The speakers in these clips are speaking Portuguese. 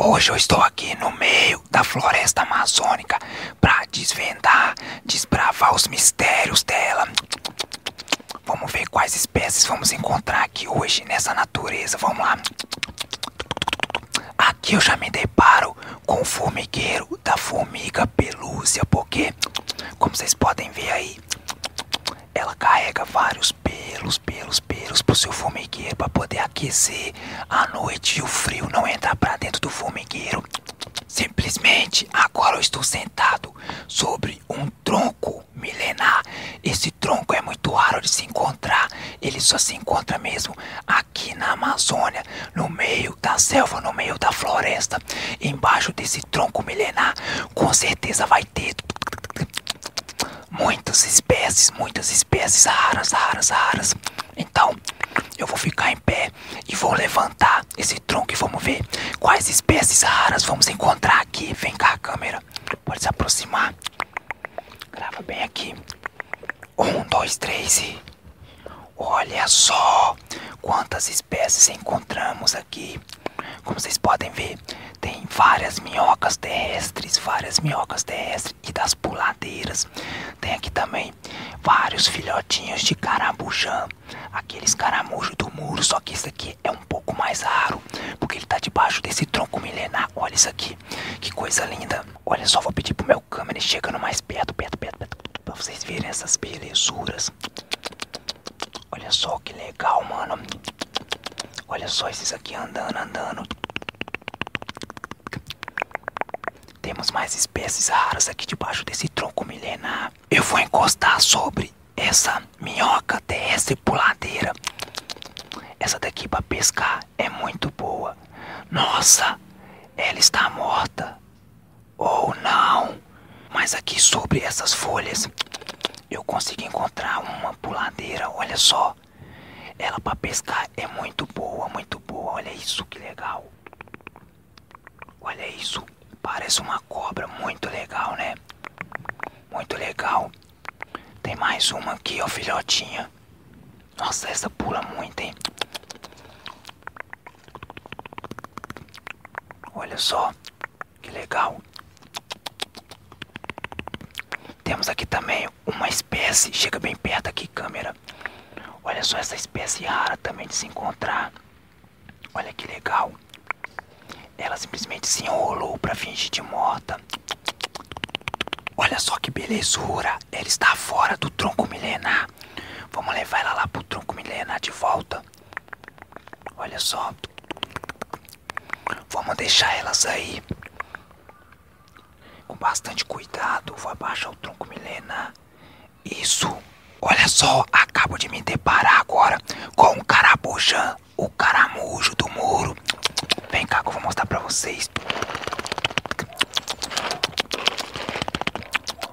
Hoje eu estou aqui no meio da floresta amazônica para desvendar, desbravar os mistérios dela. Vamos ver quais espécies vamos encontrar aqui hoje nessa natureza. Vamos lá. Aqui eu já me deparo com o formigueiro da formiga pelúcia, porque, como vocês podem ver aí, ela carrega vários pelos, pelos, pelos pro seu formigueiro para poder aquecer à noite e o frio não entrar pra dentro do formigueiro. Simplesmente agora eu estou sentado sobre um tronco milenar. Esse tronco é muito raro de se encontrar. Ele só se encontra mesmo aqui na Amazônia, no meio da selva, no meio da floresta embaixo desse tronco milenar, com certeza vai ter muitas espécies, muitas espécies raras, raras, raras. Então, eu vou ficar em pé e vou levantar esse tronco e vamos ver quais espécies raras vamos encontrar aqui. Vem cá, câmera. Pode se aproximar. Grava bem aqui. Um, dois, três Olha só quantas espécies encontramos aqui. Como vocês podem ver, tem várias minhocas terrestres, várias minhocas terrestres e das puladeiras. Tem aqui também vários filhotinhos de caramujã, aqueles caramujos do muro, só que esse aqui é um pouco mais raro, porque ele está debaixo desse tronco milenar. Olha isso aqui, que coisa linda. Olha só, vou pedir pro meu câmera, chegando mais perto, perto, perto, perto. Pra vocês verem essas belezuras. Olha só que legal, mano. Olha só esses aqui andando, andando. Temos mais espécies raras aqui debaixo desse tronco milenar. Eu vou encostar sobre essa minhoca terrestre puladeira. Essa daqui para pescar é muito boa. Nossa, ela está morta ou não. Mas aqui sobre essas folhas eu consegui encontrar uma puladeira, olha só. Ela para pescar é muito boa, muito boa. Olha isso que legal. Olha isso, parece uma cobra, muito legal, né? Muito legal. Tem mais uma aqui, ó, filhotinha. Nossa, essa pula muito, hein? Olha só, que legal. Temos aqui também uma espécie, chega bem perto aqui, câmera. Olha só essa espécie rara também de se encontrar. Olha que legal. Ela simplesmente se enrolou para fingir de morta. Olha só que belezura ela está fora do tronco milenar. Vamos levar ela lá pro tronco milenar de volta. Olha só. Vamos deixar elas aí. Com bastante cuidado, vou abaixar o tronco milenar. Isso. Olha só, acabo de me deparar agora com o carabujan, o caramujo do muro. Vem cá que eu vou mostrar pra vocês.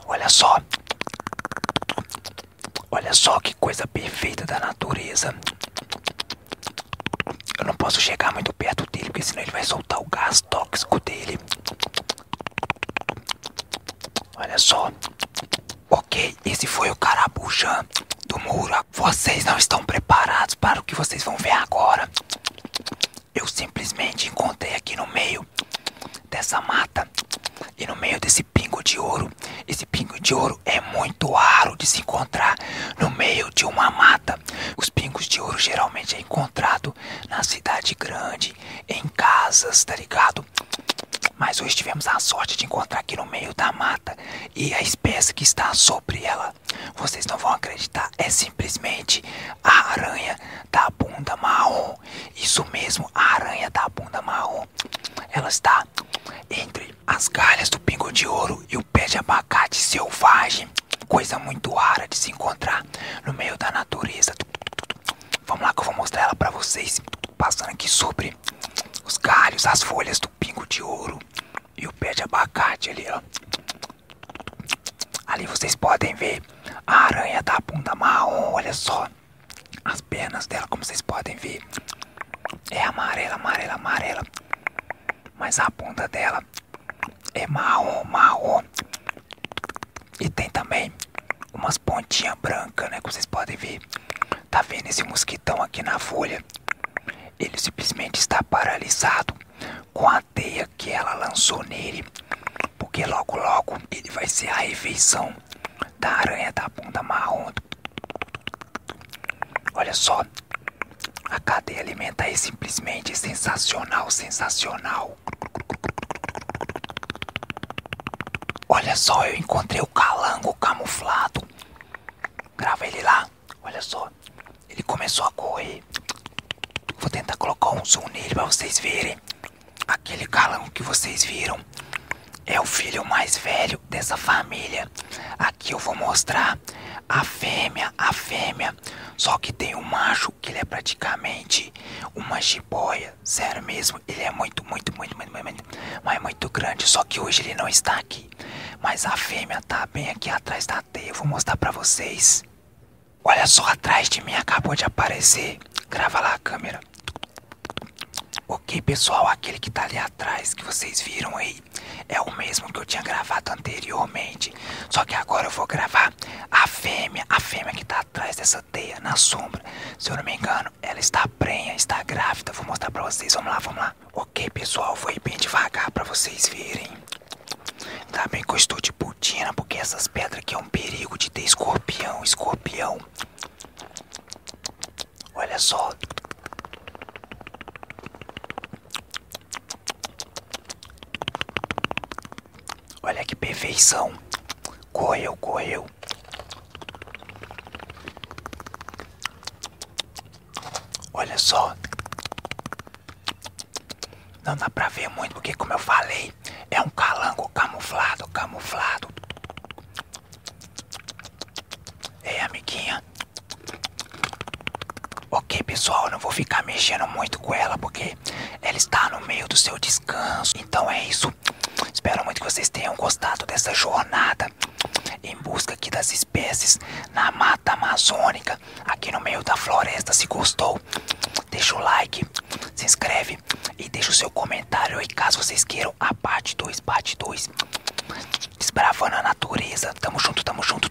Olha só. Olha só que coisa perfeita da natureza. Eu não posso chegar muito perto dele, porque senão ele vai soltar o gás tóxico dele. Olha só. Ok, esse foi o carabuja do muro. Vocês não estão preparados para o que vocês vão ver agora. Eu simplesmente encontrei aqui no meio dessa mata e no meio desse pingo de ouro. Esse pingo de ouro é muito raro de se encontrar no meio de uma mata. Os pingos de ouro geralmente é encontrado na cidade grande, em casas, tá ligado? Mas hoje tivemos a sorte de encontrar aqui no meio da mata e a espécie que está sobre ela. Vocês não vão acreditar, é simplesmente a aranha da bunda marrom. Isso mesmo, a aranha da bunda marrom. Ela está entre as galhas do pingo de ouro e o pé de abacate selvagem. Coisa muito rara de se encontrar no meio da natureza. Vamos lá que eu vou mostrar ela para vocês. Passando aqui sobre os galhos, as folhas do pingo de ouro e o pé de abacate ali, ó. Ali vocês podem ver a aranha da bunda marrom, olha só. As pernas dela, como vocês podem ver, é amarela, amarela, amarela. Mas a bunda dela é marrom, marrom. E tem também umas pontinhas brancas, né? Que vocês podem ver. Tá vendo esse mosquitão aqui na folha? Ele simplesmente está paralisado com a teia que ela lançou nele. Porque logo logo ele vai ser a refeição da aranha da bunda marrom. Olha só. A cadeia alimentar é simplesmente sensacional, sensacional. Olha só, eu encontrei o calango camuflado. Grava ele lá. Olha só. Ele começou a correr. Vou tentar colocar um zoom nele pra vocês verem. Aquele calango que vocês viram é o filho mais velho dessa família. Aqui eu vou mostrar a fêmea, a fêmea. Só que tem um macho que ele é praticamente uma jiboia. Sério mesmo, ele é muito, muito, muito, muito, muito, muito grande. Só que hoje ele não está aqui. Mas a fêmea tá bem aqui atrás da teia. vou mostrar para vocês. Olha só, atrás de mim acabou de aparecer. Grava lá a câmera. Ok, pessoal, aquele que está ali atrás, que vocês viram aí, é o mesmo que eu tinha gravado anteriormente. Só que agora eu vou gravar a fêmea, a fêmea que está atrás dessa teia na sombra. Se eu não me engano, ela está prenha, está grávida. Vou mostrar pra vocês. Vamos lá, vamos lá. Ok, pessoal, vou ir bem devagar pra vocês verem. Tá bem que eu estou de putina, porque essas pedras aqui é um perigo de ter escorpião, escorpião. Olha só. Olha que perfeição. Correu, correu. Olha só. Não dá pra ver muito, porque como eu falei, é um calango camuflado, camuflado. É amiguinha. Ok, pessoal, não vou ficar mexendo muito com ela porque ela está no meio do seu descanso. Então é isso. Espero muito que vocês tenham gostado dessa jornada em busca aqui das espécies na mata amazônica, aqui no meio da floresta. Se gostou, deixa o like, se inscreve e deixa o seu comentário E caso vocês queiram a parte 2, parte 2. Desbravando a natureza. Tamo junto, tamo junto.